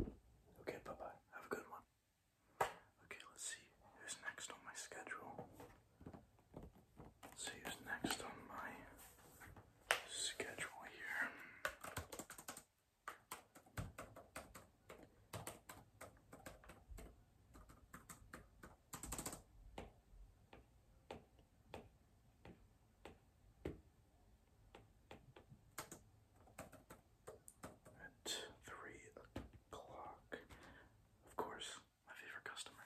Okay, bye bye. Have a good one. Okay, let's see who's next on my schedule. see who's next on my schedule here. At three o'clock. Of course, my favorite customer.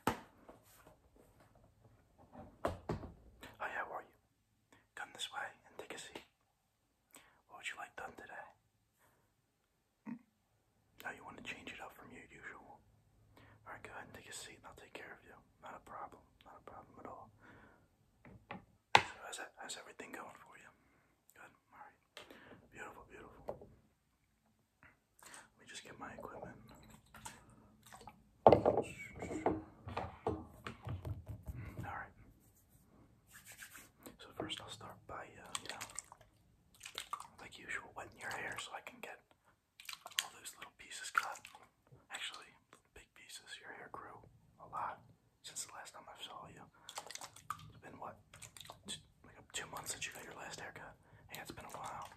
Hi, how are you? Come this way and take a seat. What would you like done today? Now you want to change it up from your usual. Alright, go ahead and take a seat and I'll take care of you. Not a problem. Not a problem at all. So how's, everything going for you? Good. All right. Beautiful, beautiful. Let me just get my equipment. Mm, all right. So first, I'll start by uh, you know, like usual, wetting your hair so I can get all those little pieces cut. Actually, pieces. Your hair grew a lot since the last time I saw you. It's been what, two, like two months since you got your last haircut. Yeah, it's been a while.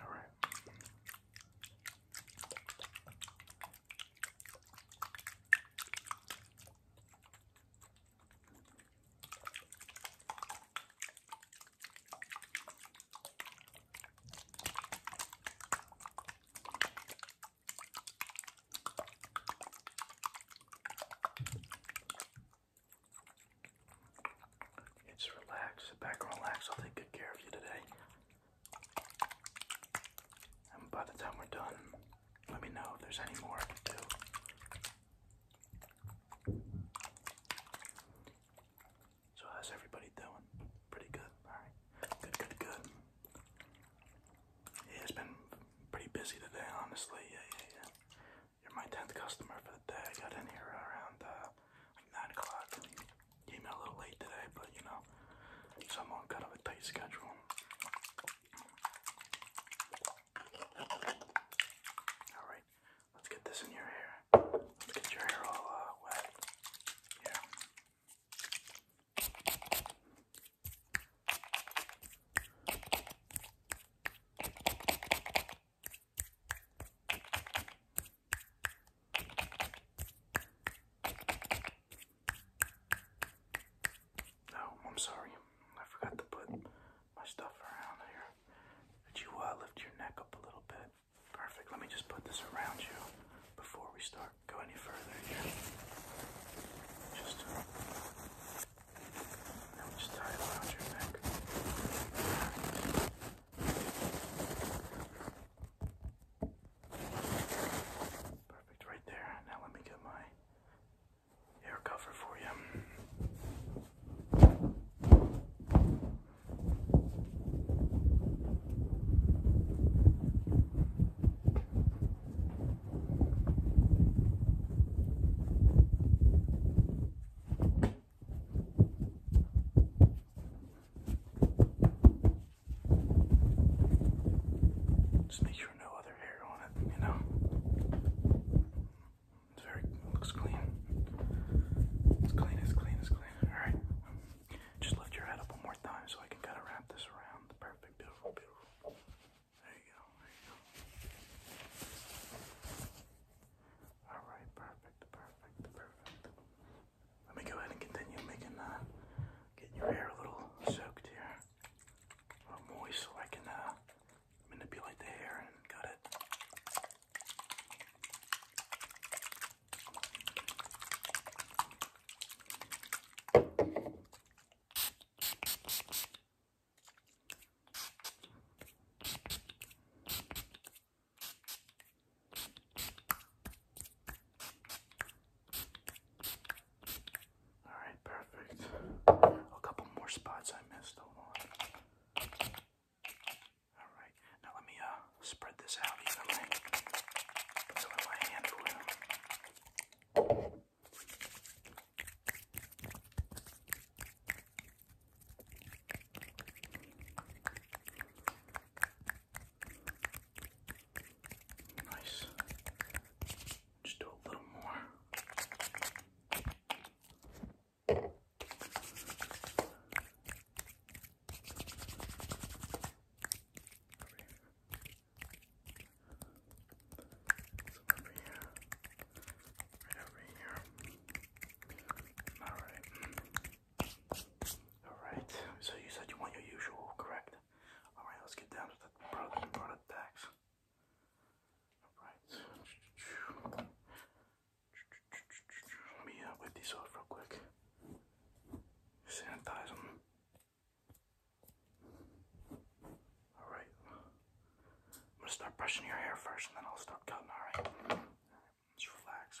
All right. Just relax, sit back and relax. I'll take good care of you today. And by the time we're done, let me know if there's any more I can do. So how's everybody doing? Pretty good. All right. Good, good, good. it's been pretty busy today, honestly. Yeah, yeah, yeah. You're my 10th customer for the day. I got in here around uh, 9 o'clock. Came in a little late today, but you know, someone got kind of a tight schedule. Alright, Let's get this in your hair. Let's get your hair all uh, wet. Yeah. No, I'm sorry. I forgot to put my stuff around here. Could you uh, lift your neck up a little bit? Perfect. Let me just put this around you before we start going any further here. Just, uh, now just tie it around your neck. Perfect, right there. Now let me get my air cover for you. Just make sure no other hair on it, you know? It's very, looks clean. It's clean, it's clean, it's clean. Alright. Just lift your head up one more time so I can kind of wrap this around. Perfect. Beautiful, beautiful. There you go. There you go. Alright, perfect, perfect, perfect. Let me go ahead and continue making uh getting your hair a little soaked here. A little moist so I can uh manipulate the hair and cut it. All right, perfect. A couple more spots I missed. All right, now let me uh spread this out evenly. Put some my hand Nice. Just do a little more. Alright. Alright. So you said you want your usual, correct? Alright, let's get down to the product product tax. Alright. Let me uh, these off real quick. Sanitize them. Alright. I'm gonna start brushing your hair first and then I'll start cutting, alright? All right, just relax.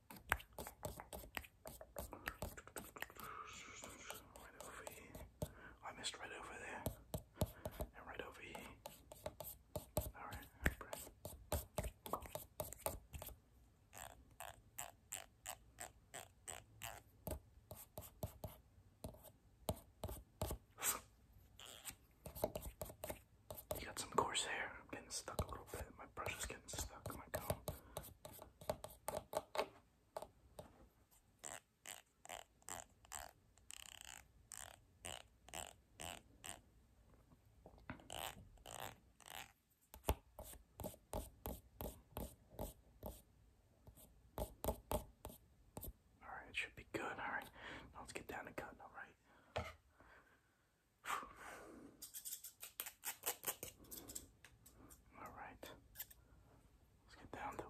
I missed right over there. And right over here. alright, you got some coarse hair. I'm getting stuck a little bit. My brush is getting stuck. My comb. Alright, it should be good. Alright, let's get down to cutting, alright? All right, let's get down to it.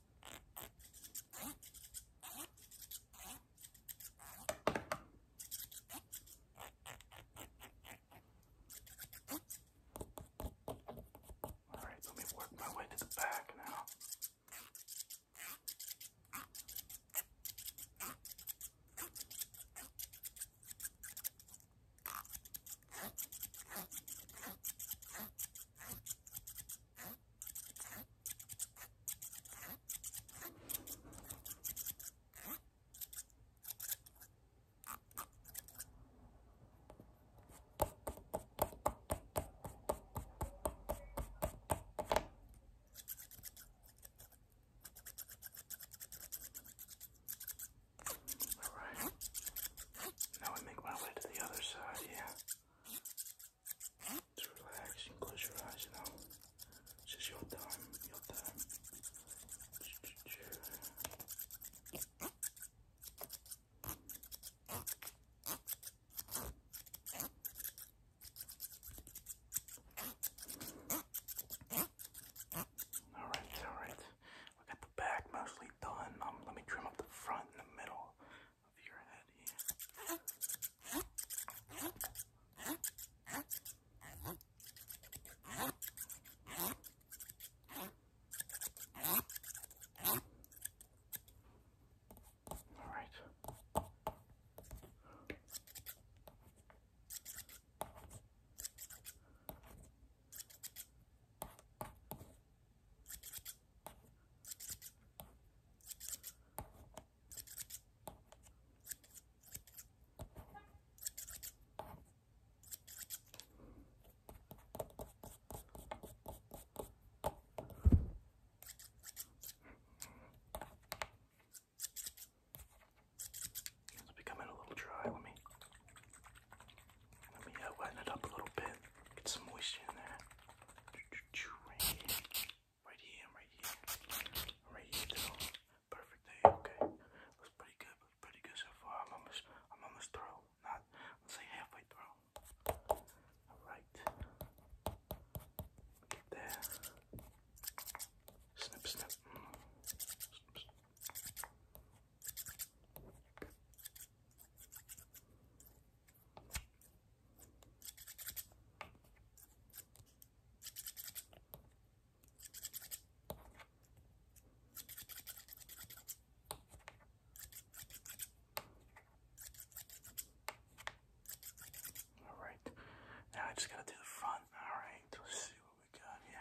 All right, let me work my way to the back now. All right. Now I make my way to the other side, yeah. Just relax and close your eyes now. It's just your time, your time. All right, all right. We got the back mostly done. Um, let me trim up the front and the middle of your head here. All right. It's becoming a little dry. Let me let me uh, wet it up a little bit. Get some moisture in there. Right here. Right here, right here. Perfect day, okay. Looks pretty good, looks pretty good so far. I'm almost I'm almost through. Not let's say halfway through. Alright. there. snip, snip. All right, now I just gotta do the front. All right, let's see what we got here.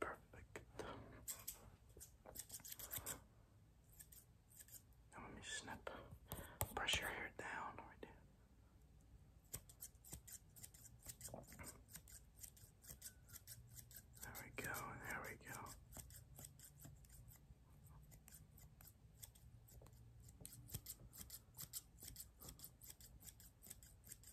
Perfect. let me snip. Brush your hair down There we go, there we go.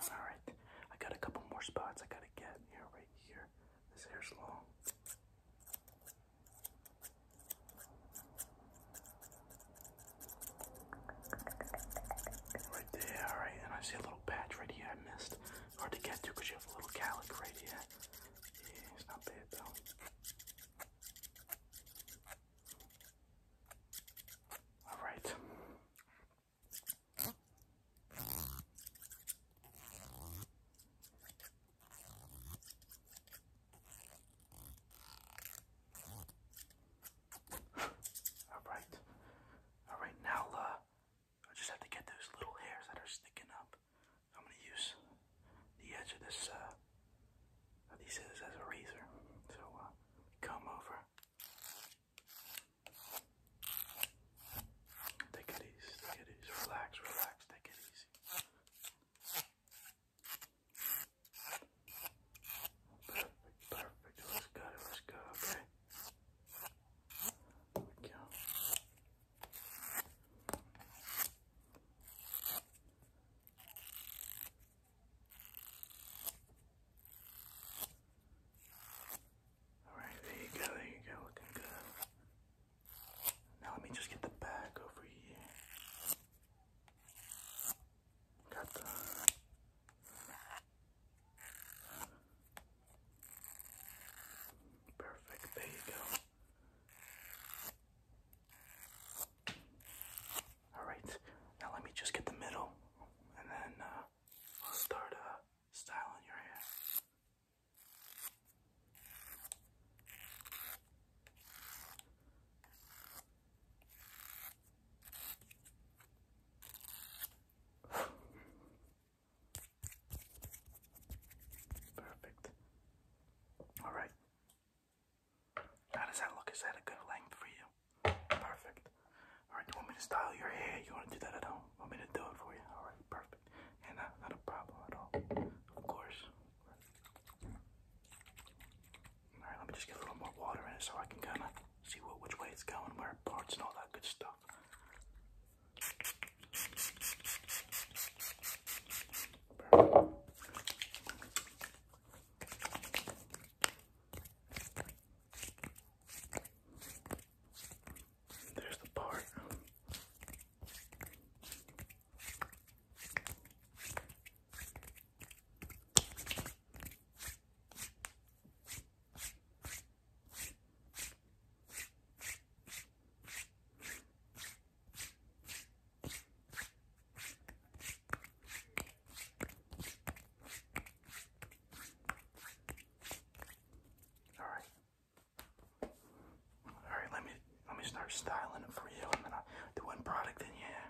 Alright, I got a couple more spots I gotta get here, right here. This hair's long. Right there, alright, and I see a little patch right here I missed. Hard to get to because you have a little calic right Yeah, it's not bad though. All right. All right. All right. Now, uh, I just have to get those little hairs that are sticking up. I'm gonna use the edge of this uh, these scissors as a razor. So uh, come over. Take it easy, take it easy, relax, relax, take it easy. Perfect, perfect, let's go, let's go, there you go, there you go, looking good. Now let me just get the bag over here. Got the Perfect, there you go. Alright, now let me just get the middle and then uh, I'll start uh, styling your hair. Perfect. All right. How does that look? Is that a good length for you? Perfect. All right. You want me to style your hair? You want to do that at home? Want me to do it for you? All right. Perfect. And uh, not, a problem at all. Of course. All right. Let me just get a little more water in so I can kind of see what which way it's going, where it parts, and all that good stuff. There's the part. All right. All right, let me let me start styling it for you, and then I'll do one product, and yeah,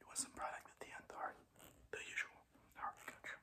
do some product at the end, all right? The usual. All right, gotcha.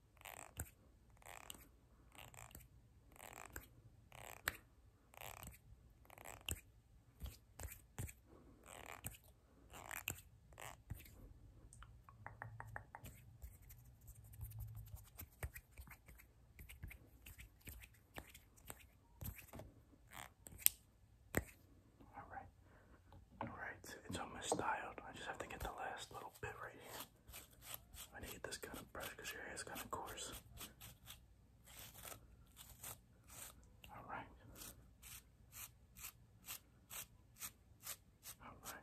All right, all right, it's almost dialed. I just have to get the last little bit right here. I need to get this kind of brush because your hair is kind of coarse. All right. All right.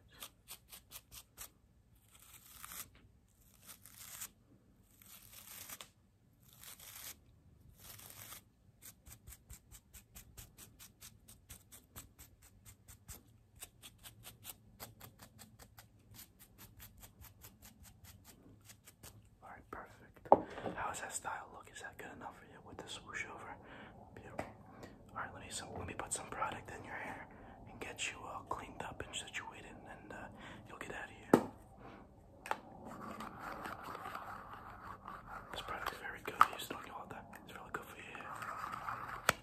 Alright, perfect. How that style look? Is that good enough for you with the swoosh over? Alright, let me let me put some product in your hair and get you all uh, cleaned up and situated, and uh, you'll get out of here. This product is very good. You don't know all that. It's really good for your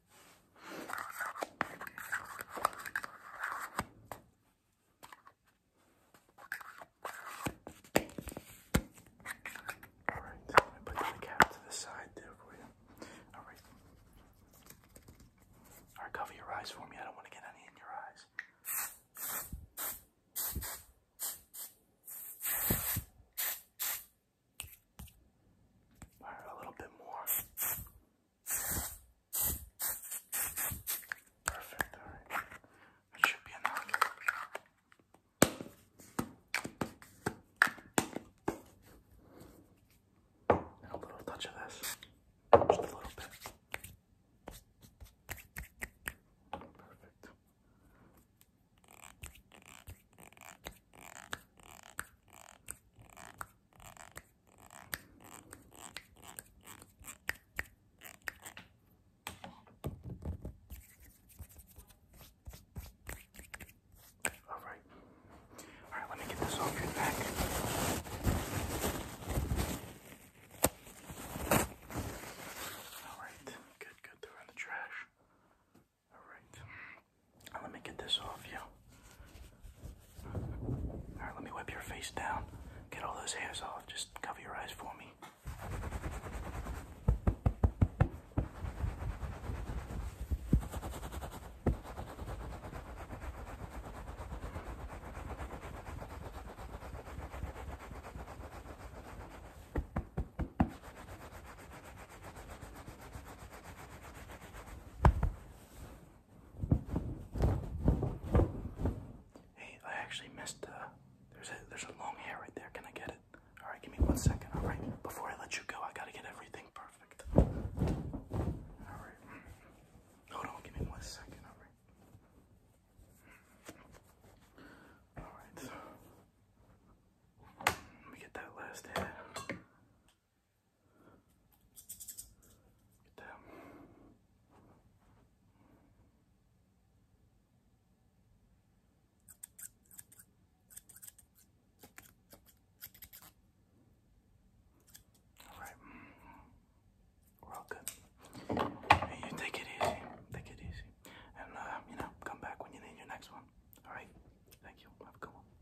Alright, I'm put the cap to the side there for you. Alright. Alright, cover your eyes for me. I don't want to get any in your eyes. a little bit more. Perfect, alright. That should be enough. a little touch of this. Just a little bit. Perfect. All right. All right, let me get this off your back. All right. Good, good. They're in the trash. All right. Let me get this off you. Alright, let me wipe your face down. Get all those hairs off. Just cover your eyes for me. Hey, I actually missed. Uh, there's a there's a long hair right there. Can I get it? All right, give me one second. All right, before I let you go, I gotta get everything perfect. All right, hold on. Give me one second. All right. All right. Let me get that last hair. Get All right, we're all good. you take it easy, take it easy, and uh, you know, come back when you need your next one. All right, thank you. Have a good one.